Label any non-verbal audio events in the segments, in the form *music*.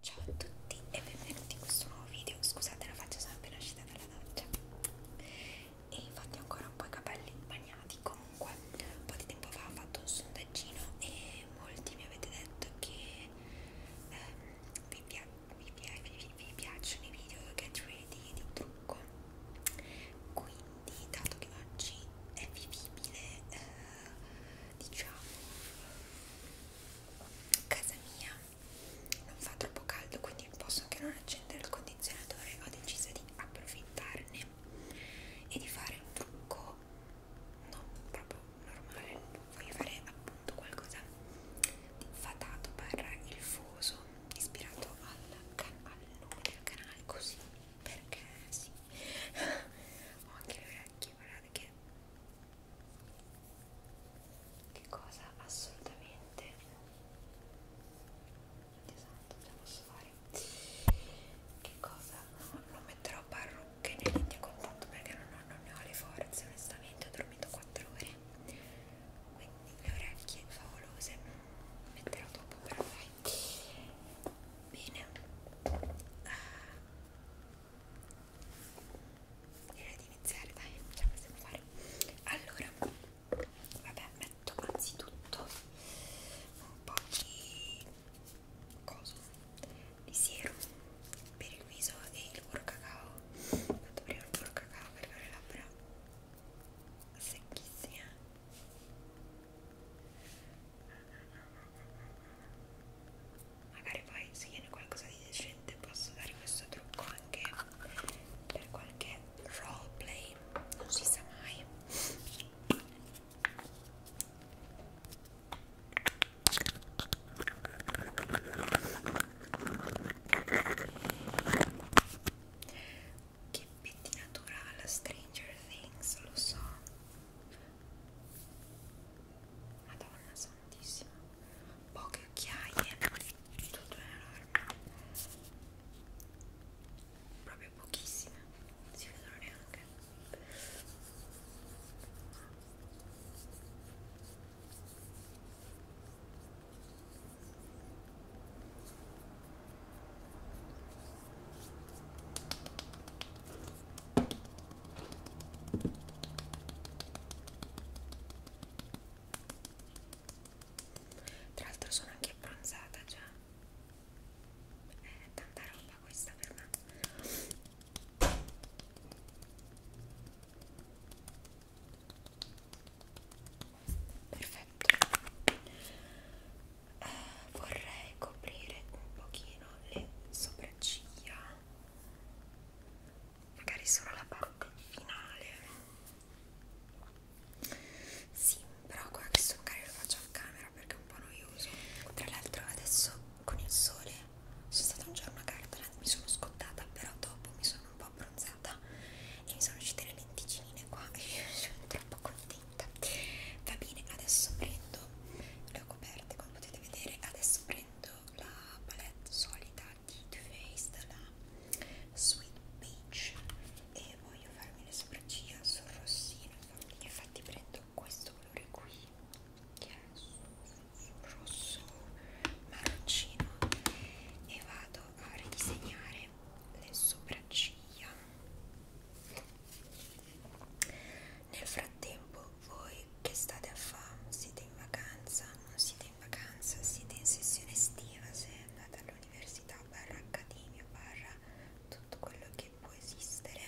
Ciao a tutti e benvenuti in questo nuovo video. Scusate la faccia, sono appena uscita dalla doccia e infatti ho ancora un po' i capelli bagnati. Comunque, un po' di tempo fa ho fatto un sondaggino e molti mi avete detto che ehm, vi, pia vi, pia vi, vi piacciono i video get ready di trucco. Quindi, dato che oggi è vivibile, eh, diciamo casa mia non fa troppo caldo quindi posso anche non accendere il condizionatore ho deciso di approfittarne e di fare un trucco non proprio normale voglio fare appunto qualcosa di fatato barra il fuso ispirato al, al nome del canale così perché sì *laughs* ho anche le orecchie guardate che che cosa assolutamente esatto, ce la posso fare che cosa no, non metterò parrucche né lenti a contatto perché non, ho, non ne ho le forze onestamente ho dormito 4 ore quindi le orecchie favolose metterò dopo però dai bene ah, direi di iniziare dai ce la possiamo fare allora vabbè metto anzitutto un po' di coso di siero per il viso e il burro cacao metto prima il burro cacao per fare labbra secchissime magari poi se viene qualcosa di decente posso dare questo trucco anche per qualche roleplay non si sa mai che pettinatura alla Stranger Things, lo so Madonna santissima, poche occhiaie, tutto enorme, proprio pochissime, non si vedono neanche. Tra l'altro sono anche abbronzata già. È eh, tanta roba questa per me. Perfetto. Eh, vorrei coprire un pochino le sopracciglia magari solo la parte finale sì però qua questo magari lo faccio a camera perché è un po' noioso tra l'altro adesso con il sole sono stata un giorno a Gardaland mi sono scottata però dopo mi sono un po' abbronzata e mi sono uscite le lenticinine qua e *laughs* sono troppo contenta va bene adesso prendo le ho coperte come potete vedere adesso adesso prendo la palette solida di Too Faced della Sweet Peach e voglio farmi le sopracciglia sul rossino infatti, infatti prendo questo colore qui che è sul, sul rosso marroncino e vado a ridisegnare le sopracciglia nel frattempo voi che state a fare, siete in vacanza, non siete in vacanza, siete in sessione estiva, se andate all'università, barra accademia, barra tutto quello che può esistere.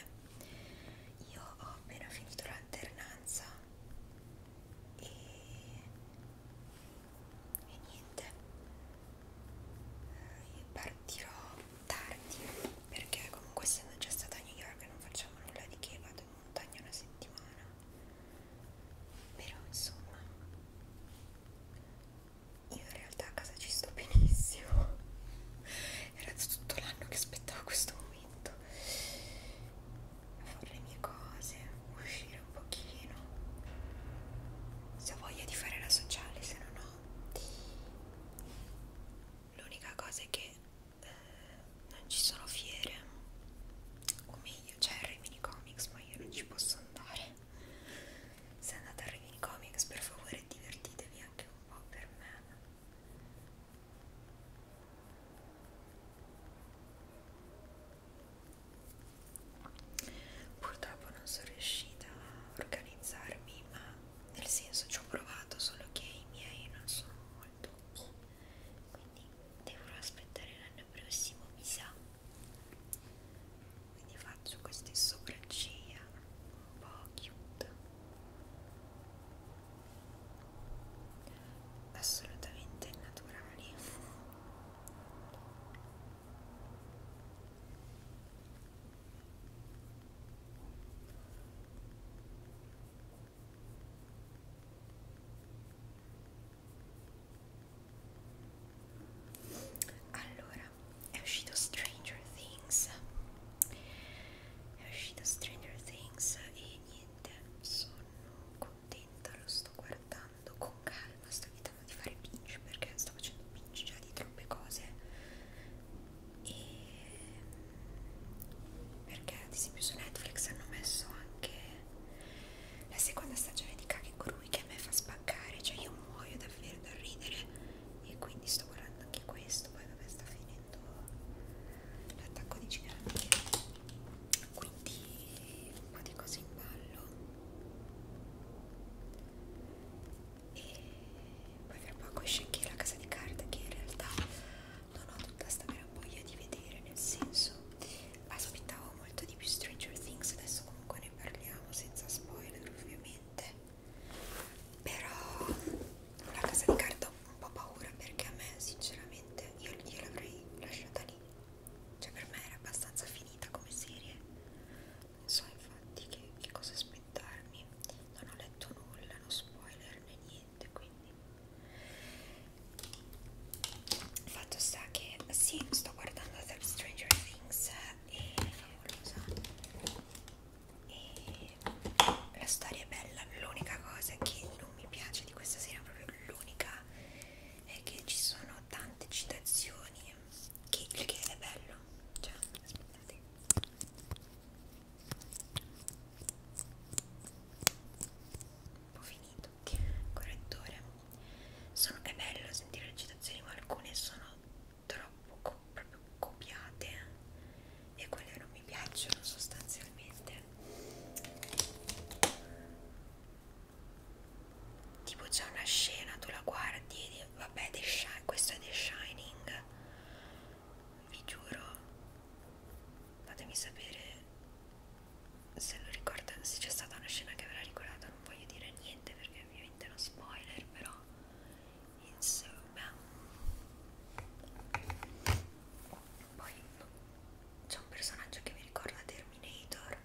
Io ho appena finito l'alternanza e, e niente, eh, io partirò tardi perché comunque essendo già stata a New York non facciamo nulla di che vado in montagna una settimana però insomma io in realtà a casa ci sto benissimo *laughs* era tutto l'anno che aspettavo questo momento fare le mie cose uscire un pochino se ho voglia di fare la sociale se no no l'unica cosa è che eh, non ci sono fiere o meglio c'è cioè, il Rimini Comics ma io non ci posso andare se andate al Rimini Comics per favore divertitevi anche un po' per me purtroppo non sono riuscita a organizzarmi ma nel senso ci ho provato solo che i miei non sono molto quindi devo aspettare l'anno prossimo mi sa quindi faccio queste sopracciglia un po' cute assolutamente naturali allora, è uscito Stranger Things. È uscito Stranger Things e niente, sono contenta, lo sto guardando con calma, sto evitando di fare pinch perché sto facendo pinch già di troppe cose e perché ad esempio su Netflix hanno messo anche la seconda stagione di Kakegurui che a me fa spaccare cioè io muoio davvero da ridere e quindi sto guardando anche questo poi vabbè sta finendo l'attacco di giganti quindi un po' di cose in ballo e poi fra poco esce anche la casa di carta che in realtà non ho tutta sta gran voglia di vedere nel senso aspettavo molto di più Stranger Things adesso comunque ne parliamo senza spoiler ovviamente però la casa di carta ho un po' paura perché a me sinceramente io, io l'avrei lasciata lì cioè per me era abbastanza finita come serie non so infatti che, che cosa spero documentarmi non ho letto nulla non spoiler né niente quindi fatto sta che sì sto guardando The Stranger Things e è favolosa e la storia è bella l'unica cosa che non mi piace di questa serie proprio l'unica è che ci sono tante citazioni che, che è bello cioè aspettate un po' finito correttore sono, è bello sentire le citazioni ma alcune sono troppo co proprio copiate e quelle non mi piacciono sostanzialmente tipo c'è una scena tu la guardi e vabbè The questo è The Shining vi giuro fatemi sapere se lo ricorda se c'è stata una scena che ve l'ha ricordata non voglio dire niente perché ovviamente è uno spoiler però insomma poi c'è un personaggio che mi ricorda Terminator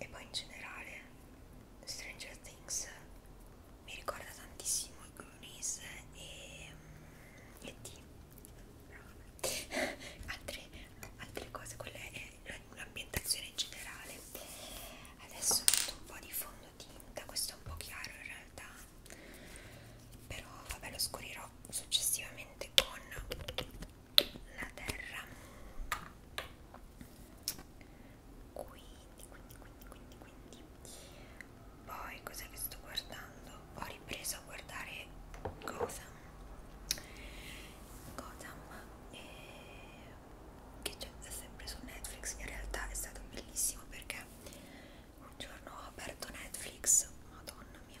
e poi in generale Stranger Things mi ricorda tantissimo Goonies e, mm, e T altre, altre cose quella è l'ambientazione in generale adesso metto un po' di fondotinta questo è un po' chiaro in realtà però vabbè lo scurirò successivamente con la terra quindi quindi quindi quindi quindi poi cos'è che sto guardando ho ripreso a guardare Gotham Gotham e... Eh, che c'è sempre su Netflix in realtà è stato bellissimo perché un giorno ho aperto Netflix madonna mia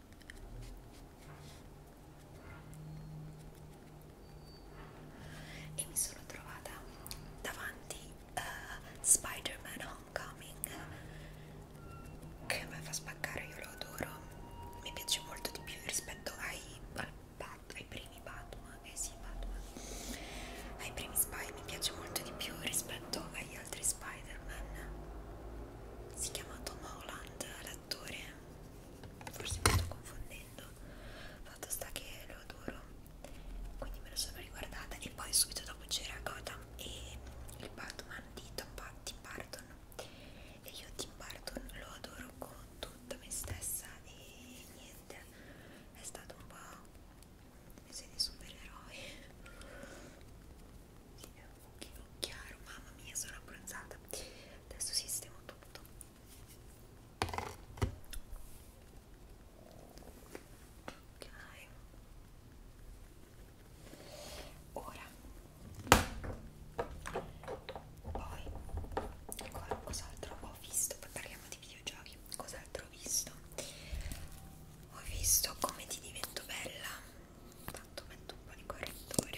e mi sono trovata davanti a uh, eh, Spider-Man Homecoming che mi fa spaccare, io lo adoro mi piace molto di più rispetto ai, al Bat, ai primi Batman eh sì Batman ai primi Spy mi piace molto di più rispetto agli altri Spider-Man si chiama Tom Holland l'attore forse mi sto confondendo fatto sta che lo adoro quindi me lo sono riguardata e poi subito dopo c'era Gotham e il Batman di Tom Tim Burton e io Tim Burton lo adoro con tutta me stessa e niente è stato un po' mi sei di supereroi sì, un pochino chiaro, mamma mia sono abbronzata. Adesso sistemo tutto. Ok. Ora poi ancora cos'altro ho visto? Poi parliamo di videogiochi. Cos'altro ho visto? Ho visto come ti divento bella Tanto metto un po' di correttore.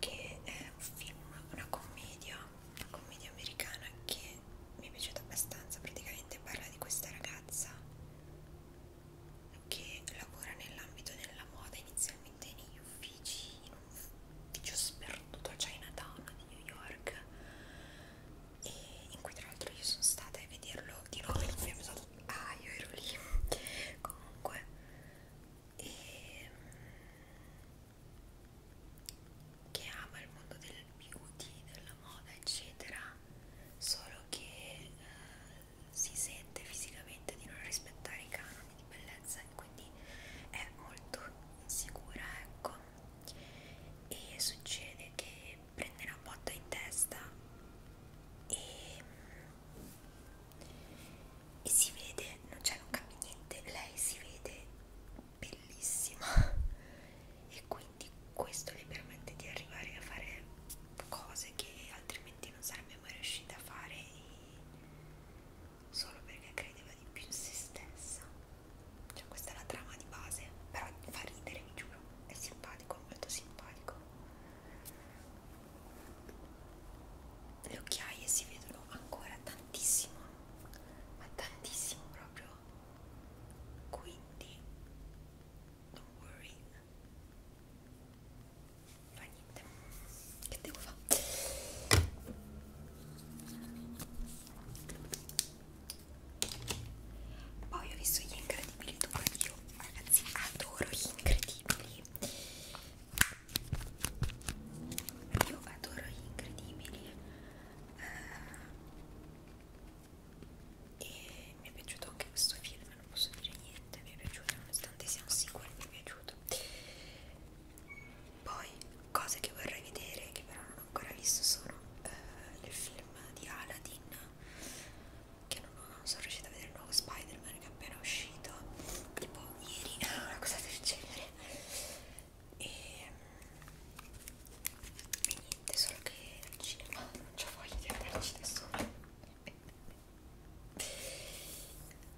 Che è un film, una commedia, una commedia americana che mi è piaciuta abbastanza. Praticamente parla di questa ragazza che lavora nell'ambito della moda, inizia ovviamente negli uffici in un ufficio sperduto cioè a Chinatown di New York e in cui tra l'altro io sono stata a vederlo di nuovo in cui stato... ah io ero lì *laughs* comunque e... Mm, che ama il mondo del beauty della moda eccetera solo che eh, si sente fisicamente di non rispettare i canoni di bellezza quindi è molto insicura ecco e succede che prende una botta in testa e, e si vede non c'è non cambia niente lei si vede bellissima *laughs* e quindi questo le permette di arrivare a fare cose che altrimenti non sarebbe mai riuscita a fare e, solo perché credeva di più in se stessa. Cioè questa è la trama di base, però fa ridere, vi giuro, è simpatico, molto simpatico. Le occhiaie si vedono ancora tantissimo, ma tantissimo proprio. Quindi, don't worry, fa niente che devo fare? Poi ho visto gli incredibili 2, io ragazzi adoro gli incredibili. Io adoro gli incredibili. Uh, e mi è piaciuto anche questo film, non posso dire niente, mi è piaciuto nonostante sia un sequel, mi è piaciuto. Poi cose che vorrei vedere, che però non ho ancora visto, sono eh, il film di Aladdin, che non, non sono riuscita a vedere il nuovo Spider-Man che è appena uscito, tipo ieri, *laughs* una cosa del genere. E, e niente, solo che al cinema non c'ho voglia di andarci da sola.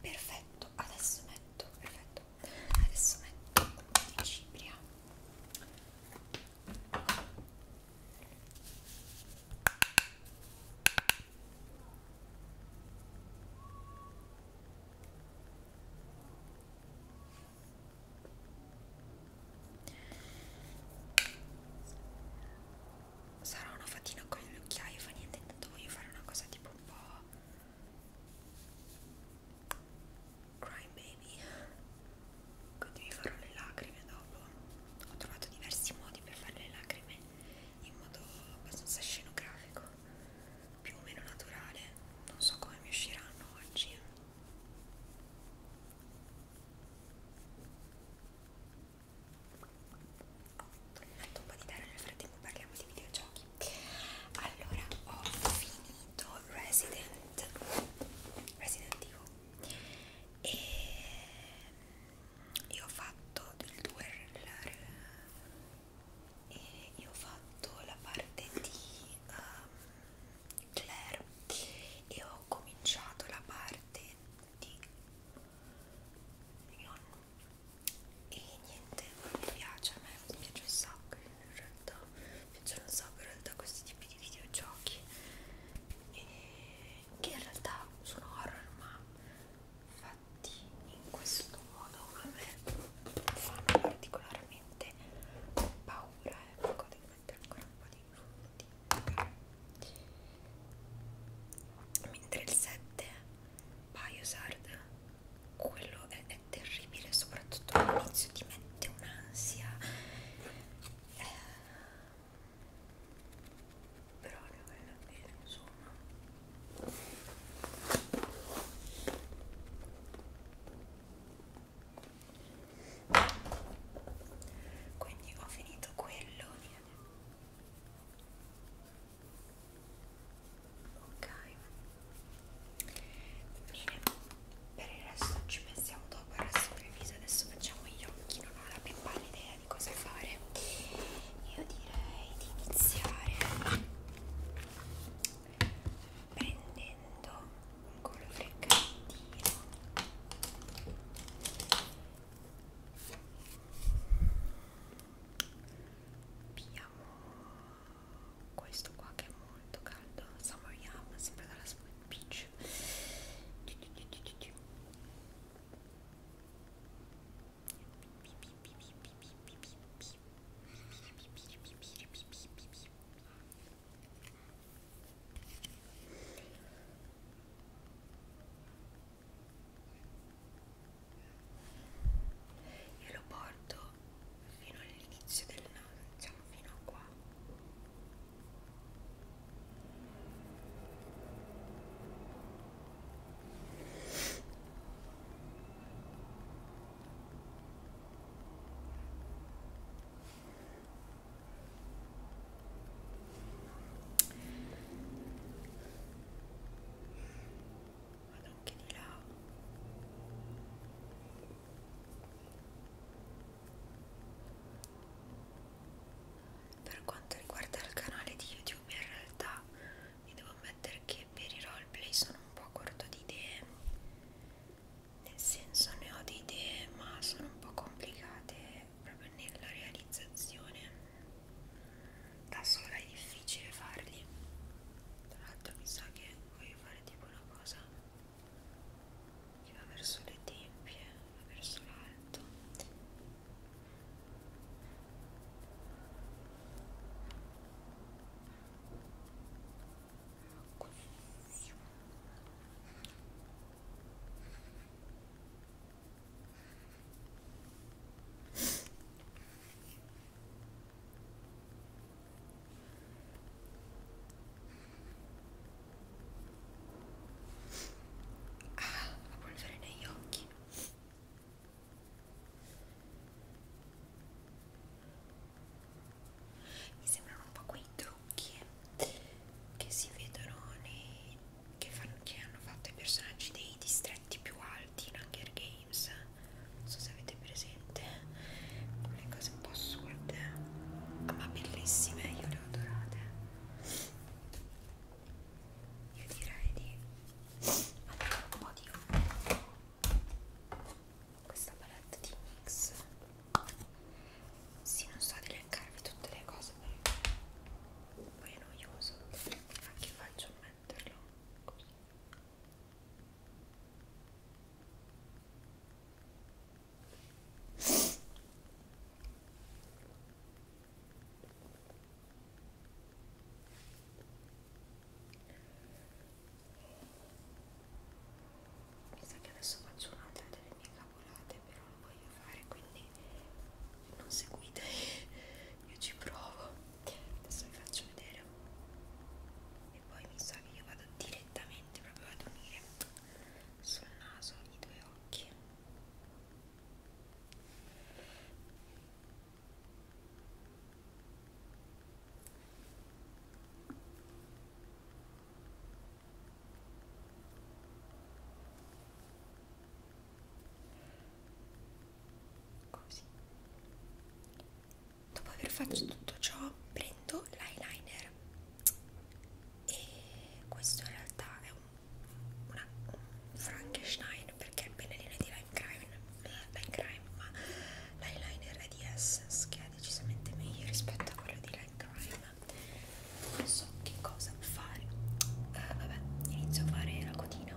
Perfetto, adesso metto, perfetto adesso metto di cipria Sarà una fatina con gli occhiaio, fa niente, intanto voglio fare una cosa tipo un po' Cry Baby quindi vi farò le lacrime dopo ho trovato diversi modi per fare le lacrime in modo abbastanza scenografico più o meno naturale non so come mi usciranno oggi metto un po' di terra nel frattempo parliamo di videogiochi allora ho finito Resident Resident Evil e io ho fatto del 2 e io ho fatto la parte di um, Claire e ho cominciato la parte di mio e niente, mi piace, a me piace un sacco in realtà, piacciono un sacco in realtà questi tipi di videogiochi e che in realtà sono horror ma fatti in questo modo a me fanno particolarmente paura e ecco, devo mettere ancora un po' di fondi mentre il 7 Biosard quello è, è terribile soprattutto all'inizio ti mette un'ansia eh, però ne vale la pena insomma quindi ho finito quello viene ok bene per il resto ci pensiamo dopo il resto del viso adesso facciamo gli occhi non ho la più pallida idea di cosa fare io direi di iniziare prendendo un colore freccantino Abbiamo questo qua che è molto caldo, Summer Yum, sempre dalla Sweet Peach e lo porto fino all'inizio del naso, diciamo fino a qua vado anche di là per quanto riguarda il canale di youtube in realtà vi devo ammettere che per i roleplay sono un po' corto di idee nel senso ne ho di idee ma sono un po' complicate proprio nella realizzazione da sola è difficile farli tra l'altro mi sa che voglio fare tipo una cosa che va verso le tempie va verso l'alto Ah, la polvere negli occhi. Mi sembrano un po' quei trucchi eh, che si vedono nei, che, fanno, che hanno fatto i personaggi dei distretti più alti in Hunger Games Games non so se avete presente quelle cose un po' assurde ma bellissime io le ho adorate io direi di allora un po' di questa palette di mix sì non so elencarvi tutte le cose perché poi è noioso anche faccio un metterlo così mi sa che adesso faccio un'altra delle mie cavolate però lo voglio fare quindi non seguite io ci provo adesso vi faccio vedere e poi mi sa che io vado direttamente proprio ad unire sul naso i due occhi ok così dopo aver fatto tutto ciò prendo l'eyeliner e questo in realtà è un, una, un Frankenstein perché è il pennellino di Lime Crime, Lime Crime ma l'eyeliner è di Essence che è decisamente meglio rispetto a quello di Lime Crime non so che cosa fare eh, vabbè inizio a fare la cotina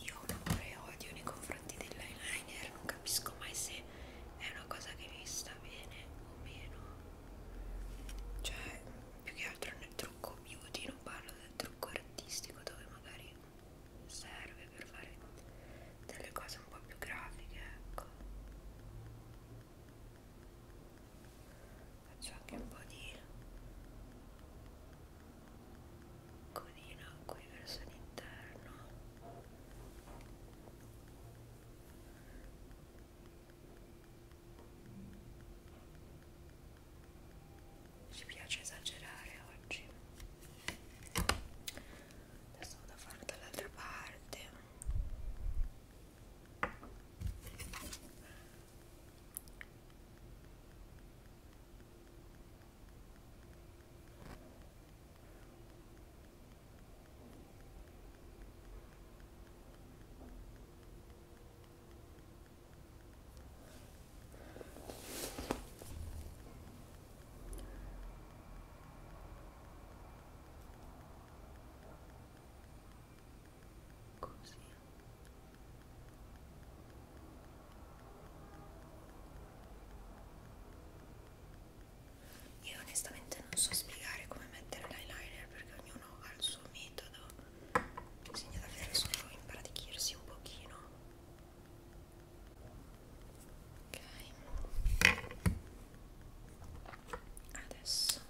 Io ho un amore e odio nei confronti dell'eyeliner, non capisco mai se è una cosa che mi sta bene o meno. Cioè, più che altro nel trucco beauty, non parlo del trucco artistico dove magari serve per fare delle cose un po' più grafiche, ecco. Faccio anche un po' di codina qui verso l'interno ci piace esagerare oggi. Adesso vado a farlo dall'altra parte. Così. Io onestamente non so spiegare come mettere l'eyeliner piacere perché ognuno ha il suo metodo bisogna davvero solo impratichirsi un pochino ok adesso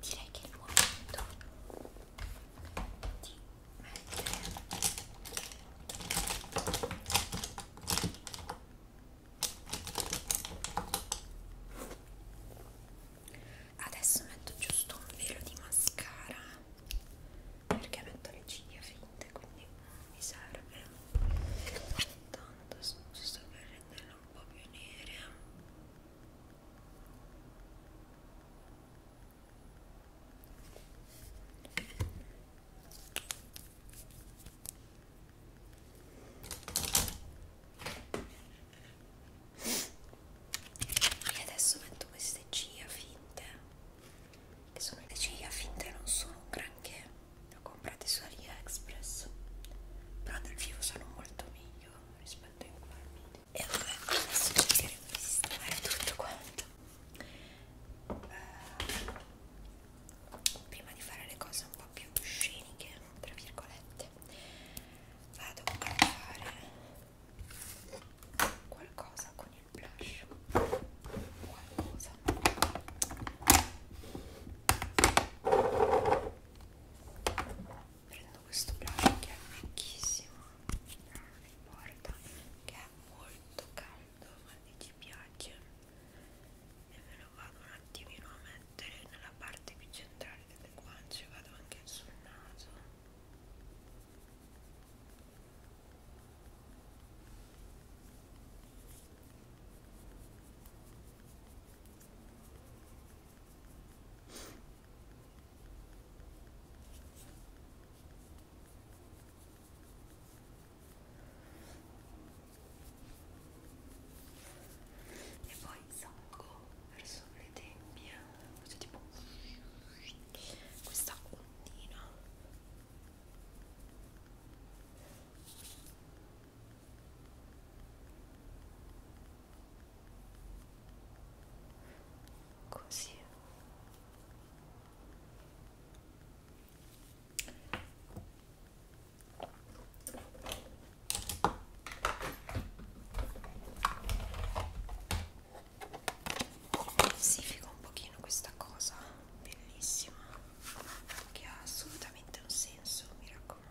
direi che è il momento di Adesso metto giusto un velo di mascara perché metto le ciglia finte quindi mi serve tanto giusto per renderle un po' più nere e adesso metto queste ciglia finte, che sono le ciglia finte non sono un granché, le ho comprate su AliExpress, però nel vivo sono molto meglio rispetto a quelli. E vabbè, adesso cercheremo di sistemare tutto quanto eh, prima di fare le cose un po' più sceniche tra virgolette vado a fare qualcosa con il blush qualcosa prendo questo blush che è vecchissimo non importa che è molto toccando e ci piace e ve lo vado un attimino a mettere nella parte più centrale delle guance vado anche sul naso e poi salgo verso le tempie faccio tipo questa ondina così Sifico un pochino questa cosa bellissima che ha assolutamente un senso, mi raccomando.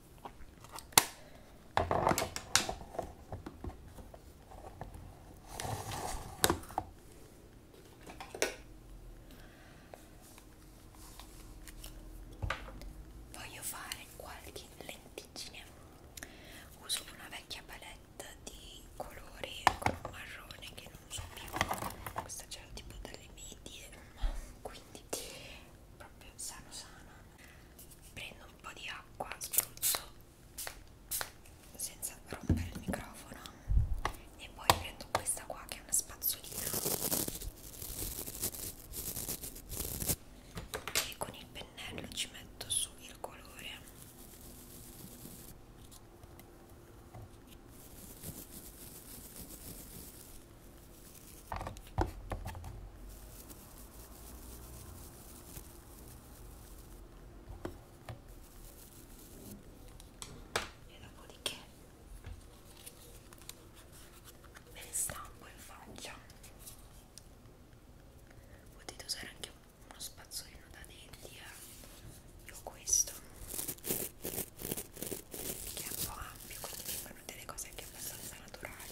Voglio fare qualche lenticine. Uso una vecchia palette di colori con un marrone che non uso più. Questa c'era tipo dalle medie, quindi proprio sano sano prendo un po' di acqua, spruzzo senza rompere il microfono e poi prendo questa qua che è una spazzolina e con il pennello ci metto su il colore e dopodiché me le stampo in faccia potete usare anche uno spazzolino da denti eh? io ho questo che è un po' ampio quindi vengono delle cose anche abbastanza naturali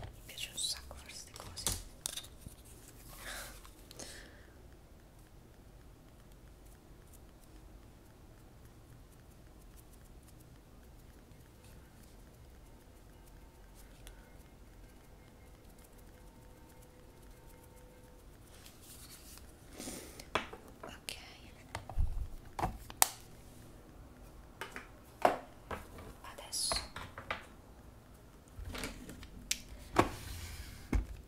Mi piace un sacco fare queste cose. Ok. Adesso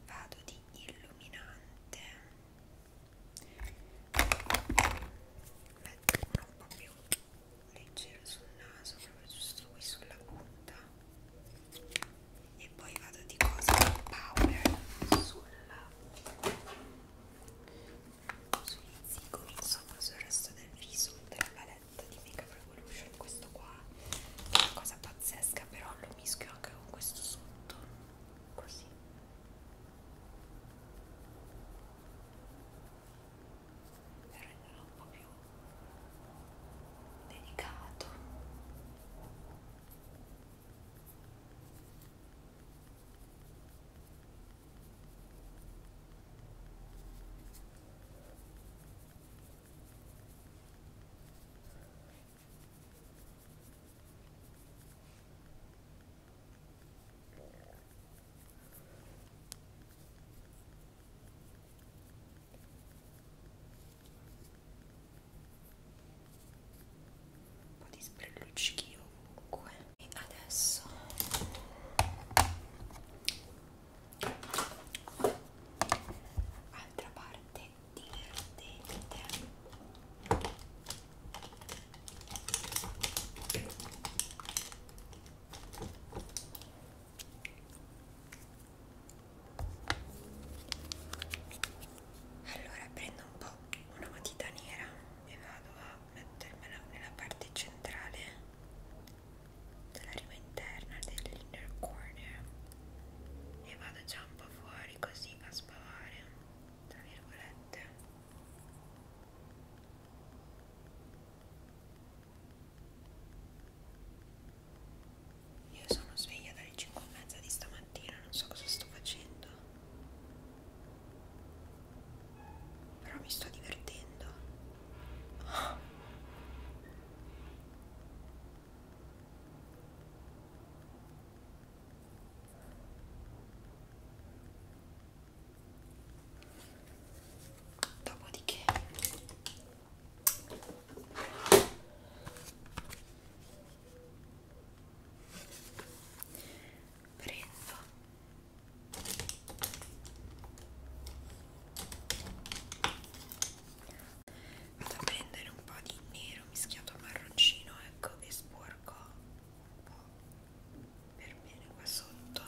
vado di illuminante metto ecco, uno un po' più leggero sul naso proprio giusto qui sulla punta e poi vado di cosa di powder sulla sugli zigomi insomma sul resto del viso della palette di Makeup Revolution questo qua è una cosa pazzesca però lo mischio anche con questo sotto così per renderlo un po' più delicato un po' di sprellucci ovunque e adesso altra parte divertente allora prendo un po' una matita nera e vado a mettermela nella parte centrale della riva interna dell'inner corner e vado già un po' fuori così a spavare tra virgolette io sono sveglia dalle 5 e mezza di stamattina non so cosa sto facendo però mi sto divertendo oh. Dopodiché prendo vado a prendere un po' di nero mischiato a marroncino ecco e spuo sporco un po' per bene qua sotto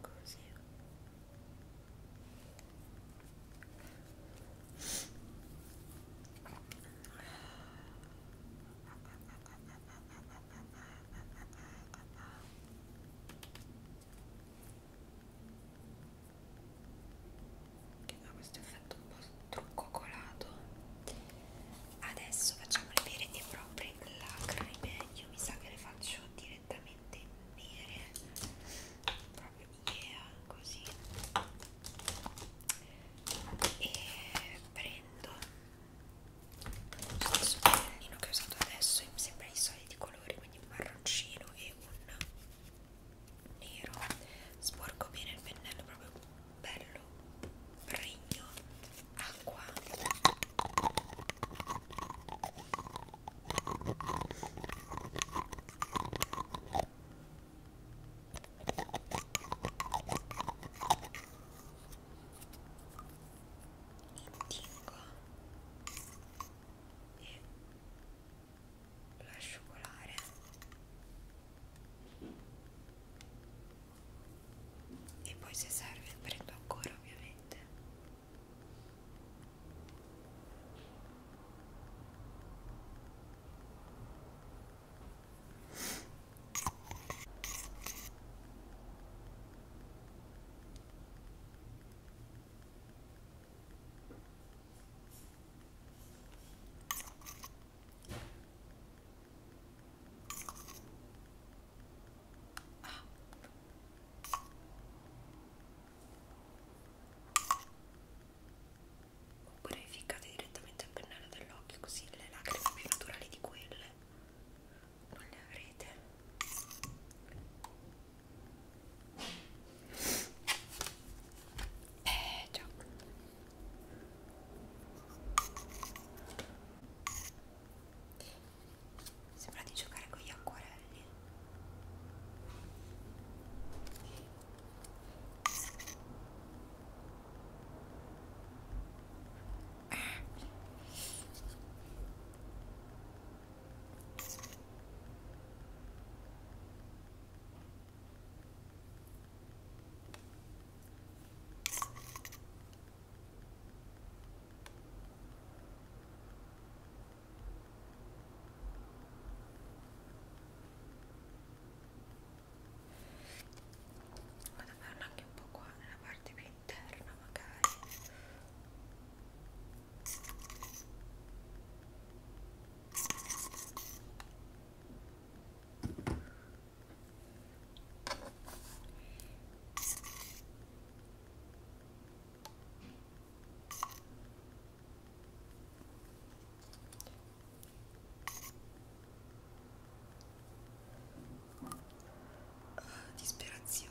così che ha questo effetto un po' truccocolato adesso facciamo le vere e proprie lacrime io mi sa che le faccio direttamente nere proprio yeah così e prendo lo stesso pennellino che ho usato adesso mi sembra i soliti colori quindi un marroncino e un nero sporco bene il pennello proprio bello regno acqua Indigo e lo lascio colare e poi se serve prendo ancora ovviamente Oppure ficcate direttamente il pennello dell'occhio così le lacrime più naturali di quelle non le avrete eh già. Sembra di giocare con gli acquarelli. Vado a farlo anche un po' qua nella parte più interna magari Disperazione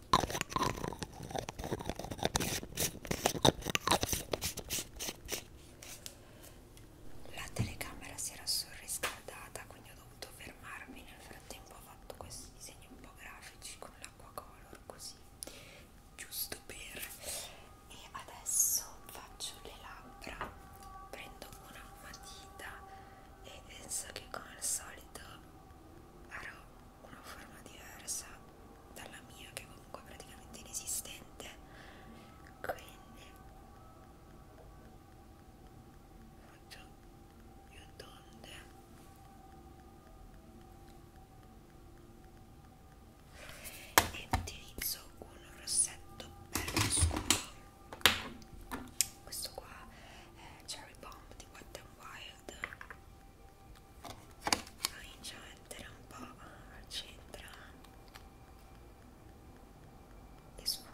La telecamera si era sorriscaldata, quindi ho dovuto fermarmi. Nel frattempo ho fatto questi disegni un po' grafici con l'acqua color così, giusto per. E adesso faccio le labbra, prendo una matita e penso che come al solito avrò una forma diversa dalla mia che comunque è praticamente inesistente quindi faccio più tonde e utilizzo un rossetto bello scuro questo qua è Cherry Bomb di Wet n Wild wild comincio a mettere un po' al centro e sfumo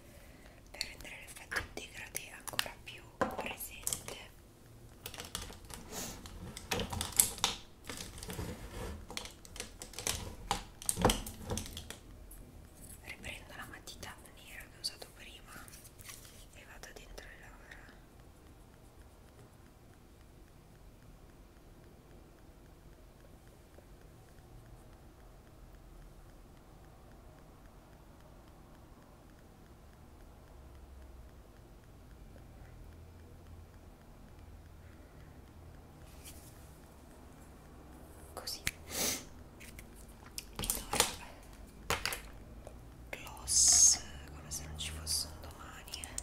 per rendere l'effetto integrate ancora più presente riprendo la matita nera che ho usato prima e vado dentro le labbra così allora gloss come se non ci fosse un domani eh.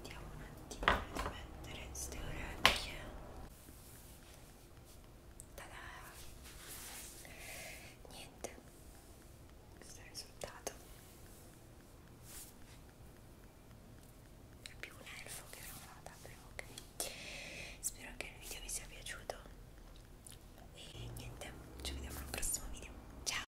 Vediamo un attimo di mettere queste orecchie. Tada! Niente. Questo è il risultato. È più un elfo che non vada, però ok. Spero che il video vi sia piaciuto. E niente, ci vediamo al prossimo video. Ciao!